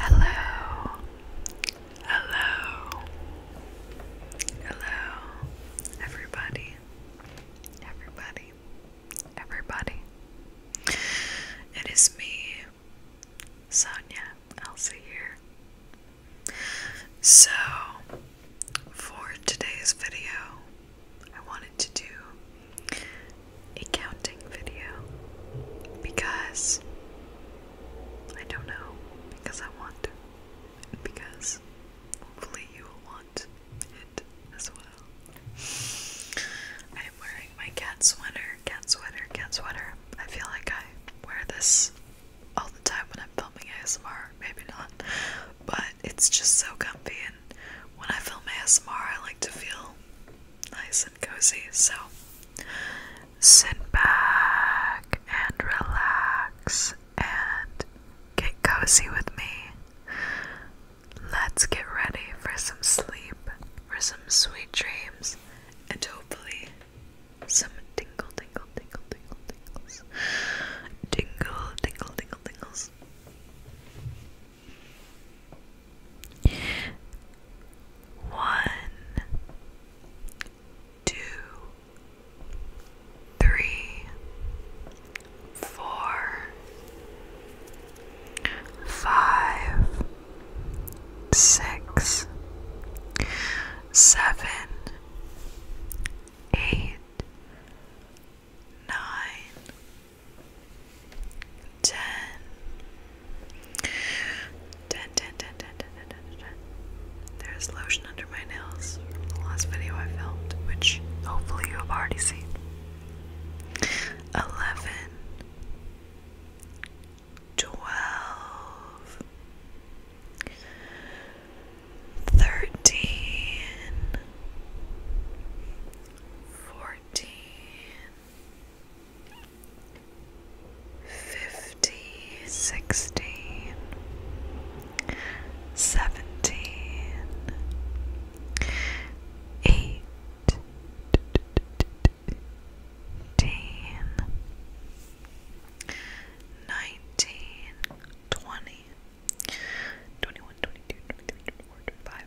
Hello. Hello. Hello. Everybody. Everybody. Everybody. It is me, Sonia Elsa here. So, for today's video, I wanted to do a counting video because I don't know, because I want because hopefully you will want it as well. I am wearing my cat sweater, cat sweater, cat sweater. I feel like I wear this all the time when I'm filming ASMR, maybe not, but it's just so comfy and when I film ASMR I like to feel nice and cozy. So sit back and relax and get cozy with me. Let's get ready for some sleep, for some sweet dreams, and hopefully some tingle, tingle, tingle, tingle, tingles. Tingle, tingle, tingle, tingles. One, two, three, four, five, six, seven, eight nine, ten, ten, ten, ten, ten, ten, ten, ten, ten. There's lotion under my nails from the last video I filmed, which hopefully you have already seen. Eleven, twelve, thirteen, fourteen fourteen, fifteen, sixteen, seventeen, eight. Ten, nineteen, twenty, twenty-one, twenty-two, twenty-three, twenty-four, twenty-five,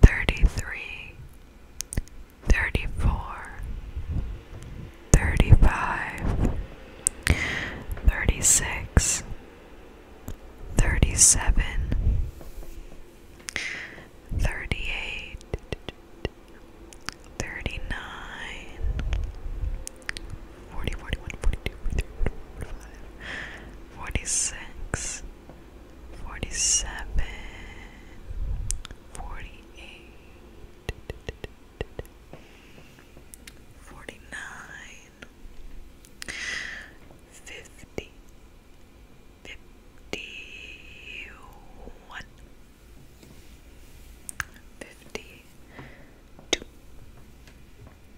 thirty three, thirty four, thirty five, thirty six, thirty seven, thirty eight, thirty nine, forty, forty one, forty two, forty three, forty five, forty six. 47 48 49 50 51 52 53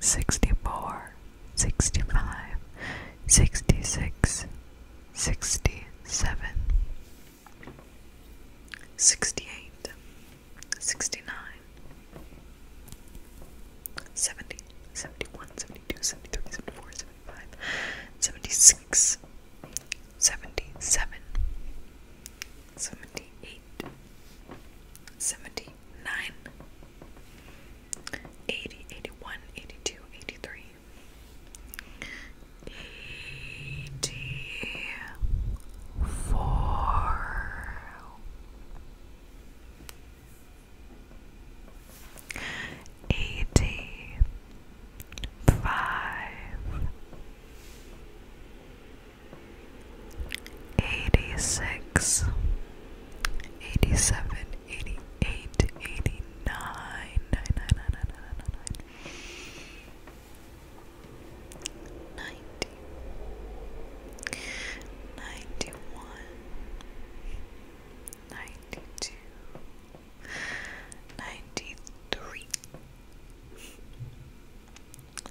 64, 65, 66, 67, 68, 69, 70, 71, 72, 73, 74, 75, 76, 77, 78, 79, 80, 81, 82, 83, 84, 85, 86 87 88 89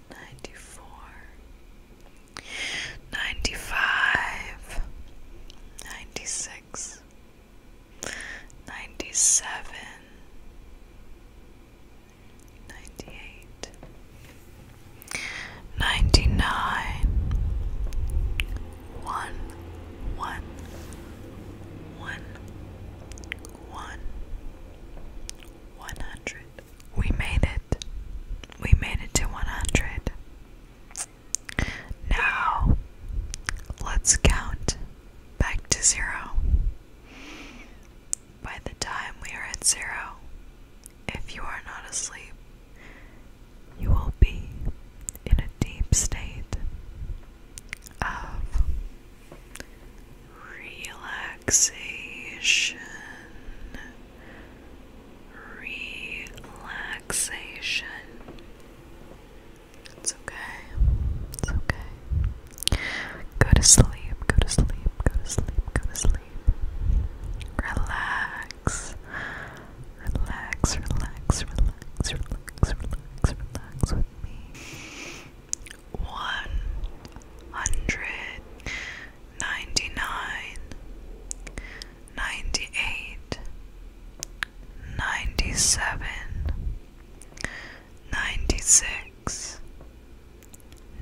Ninety-four, ninety-five, ninety-six, ninety-seven, ninety-eight, ninety-nine, one, one, one, one, one hundred. We made it. We made it to 100. Now, let's count back to zero. By the time we are at zero, if you are not asleep, you will be in a deep state of relaxation, relaxation. It's okay, it's okay. Go to sleep, go to sleep, go to sleep, go to sleep. Relax, relax, relax, relax, relax, relax, relax with me one hundred ninety nine, ninety eight, ninety seven, ninety six,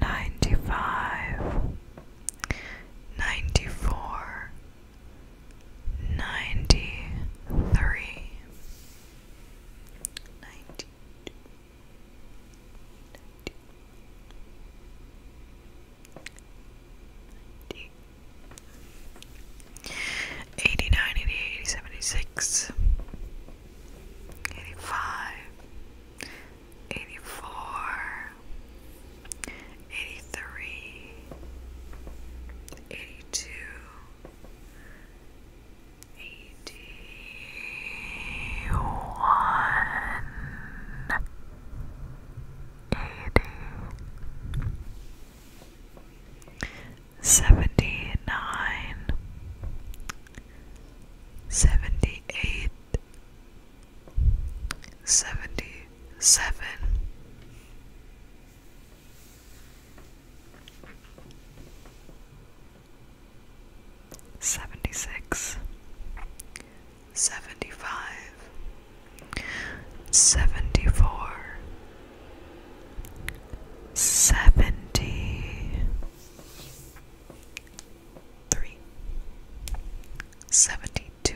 ninety five, ninety four, ninety three. 93 89, 88, 80, 76, 84, 83, 82, eighty one eighty seventy nine seventy eight seventy seven Seventy 76 75 74 72 71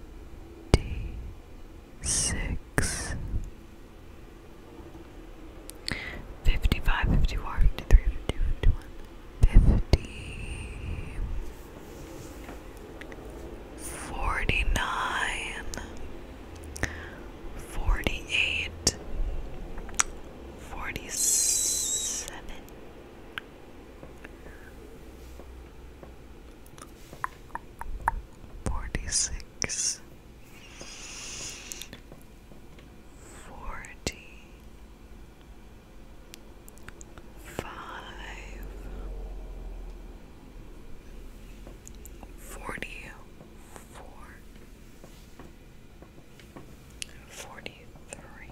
56 55 54 53 52 51 50 49 48 47 Forty-six, forty, five, forty-four, forty-three.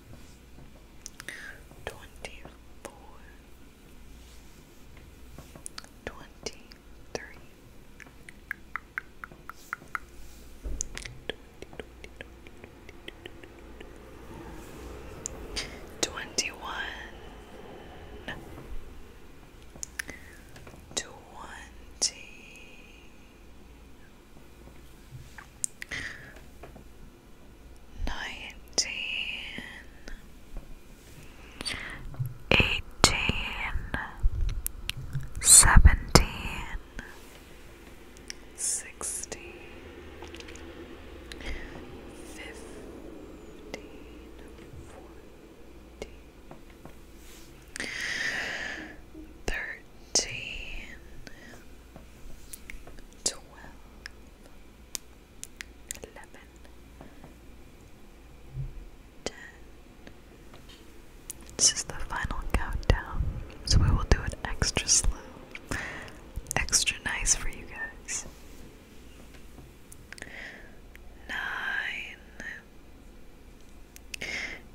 twenty-four, twenty-three, twenty-one, twenty nineteen, eighteen, seventeen, sixteen, fifteen, fourteen, thirteen twelve, eleven, ten. This is the final countdown, so we will do it extra slow, extra nice for you guys. Nine,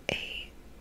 eight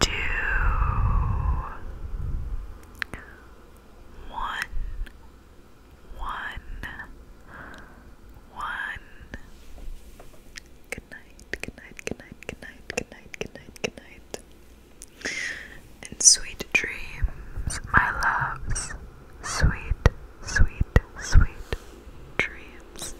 two, one, one, one. Good night, good night, good night, good night, good night, good night, good night. And sweet dreams, my loves. Sweet, sweet, sweet dreams.